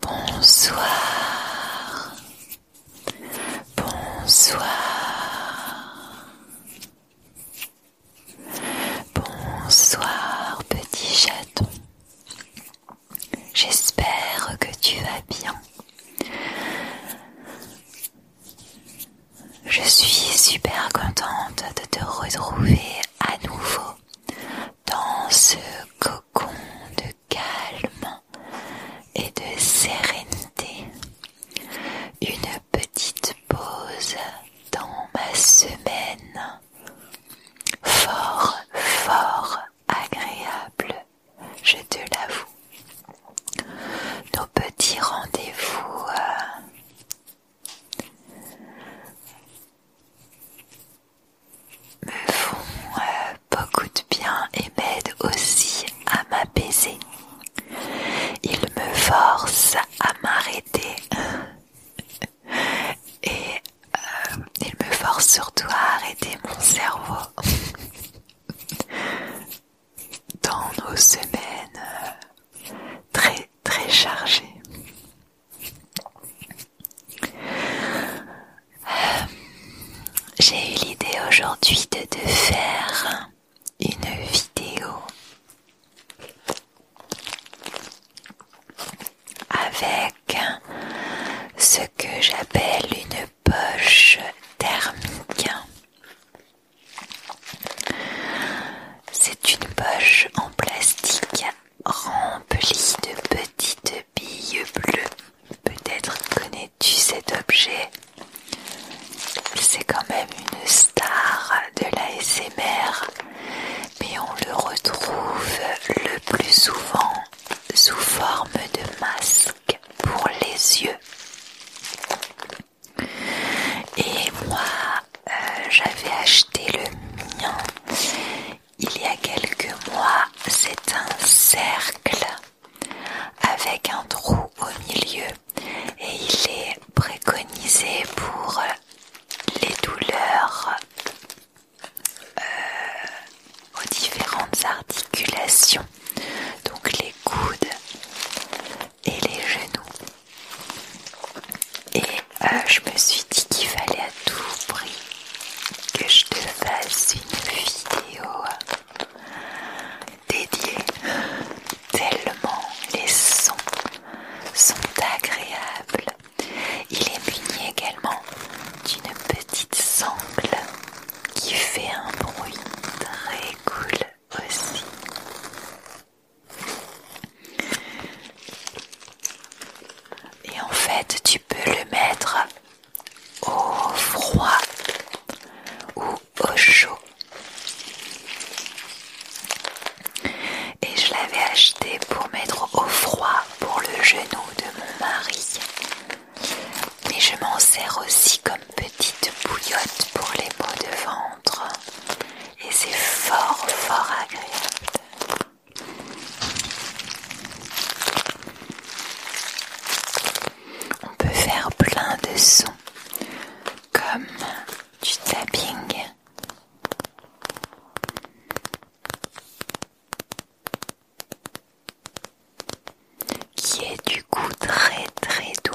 Bonsoir. Bonsoir. Bonsoir petit chaton. J'espère que tu vas bien. Je suis super contente de te retrouver à nouveau dans ce cocon de calme et de sérénité. Une petite pause dans ma semaine. Fort, fort agréable, je te l'avoue nos petits rendez-vous euh, me font euh, beaucoup de bien et m'aident aussi à m'apaiser. Ils me forcent à m'arrêter et euh, ils me forcent surtout à arrêter mon cerveau dans nos semaines très très chargées. Euh, j'ai eu l'idée aujourd'hui de te faire une vidéo avec ce que j'appelle une poche thermique c'est une poche en plastique remplie de petites billes bleues. Peut-être connais-tu cet objet C'est quand même une star de la mais on le retrouve le plus souvent sous forme de masque pour les yeux. Et moi, euh, j'avais acheté le mien il y a quelques mois. C'est un cercle avec un trou au milieu et il est préconisé pour les douleurs euh, aux différentes articulations, donc les coudes, et les genoux. Et euh, je me suis dit qu'il fallait à tout prix que je te fasse une vidéo dédiée. Tellement les sons sont agréables. Il est muni également d'une petite sangle qui fait un bruit très cool aussi. Et en fait, tu peux le mettre au froid ou au chaud. Et je l'avais acheté pour mettre au froid pour le genou de mon mari. Et je m'en sers aussi comme petite bouillotte pour les pots de ventre et c'est fort fort agréable. On peut faire plein de sons comme du tapping. qui est du coup très très doux.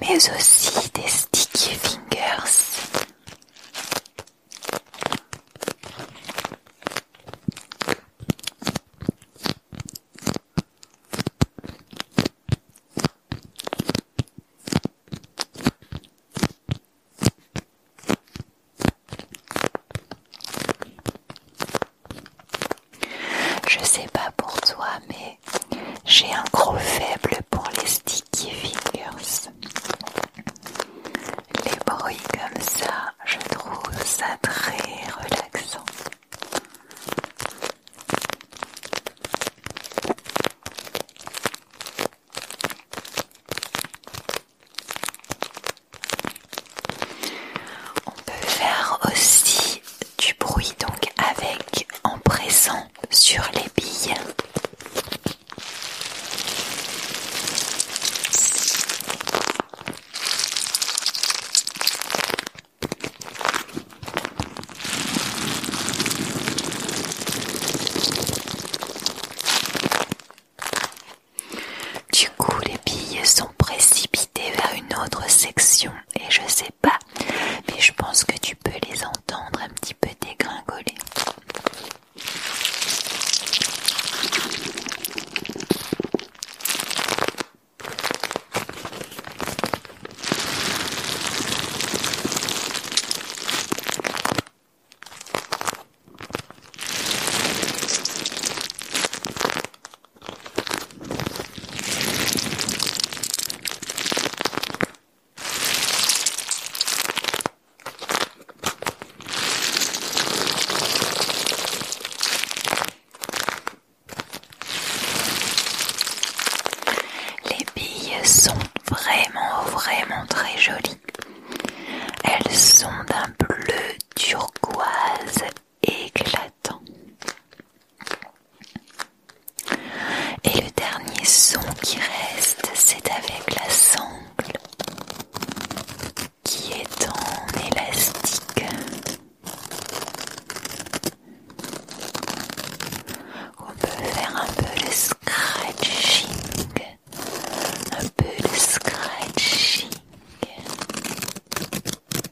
mais aussi des sticky fingers. Je sais pas pour toi, mais j'ai un gros faible pour les sticky Figures. Les bruits comme ça, je trouve ça très relaxant. On peut faire aussi du bruit donc avec en pressant sur les billes. Du coup, les billes sont précipitées vers une autre section et je sais pas, mais je pense que tu peux les entendre un petit peu dégringoler. Les billes sont vraiment, vraiment très jolies. Elles sont d'un bleu turquoise éclatant. Et le dernier son qui reste, c'est avec la sangle qui est en élastique. On peut faire un peu le scratching, un peu le scratching.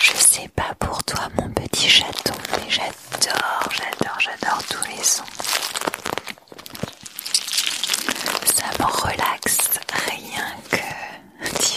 Je sais pas pour toi mon petit chaton, mais j'adore, j'adore, j'adore tous les sons. Ça me relaxe rien que d'y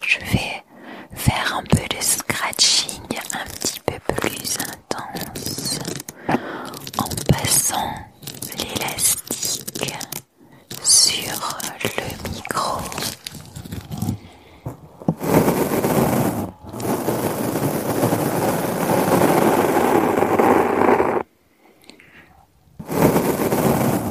Je vais faire un peu de scratching un petit peu plus intense en passant l'élastique sur le micro.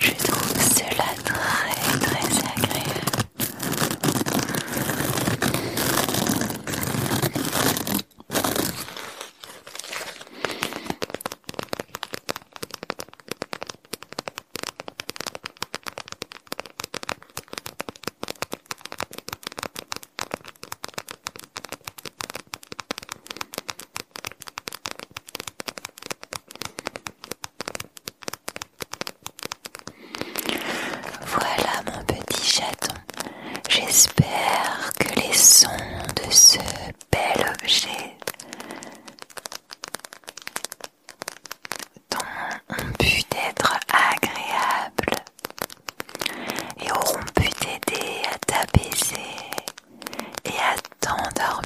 Je trouve cela très très agréable. Voilà mon petit chaton. J'espère que les sons de ce bel objet ont pu être agréables et auront pu t'aider à t'apaiser et à t'endormir.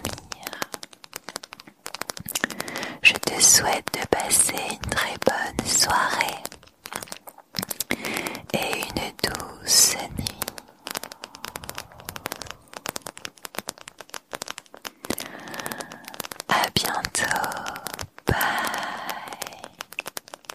Je te souhaite de passer une très bonne soirée et une douce nuit. À bientôt. Bye.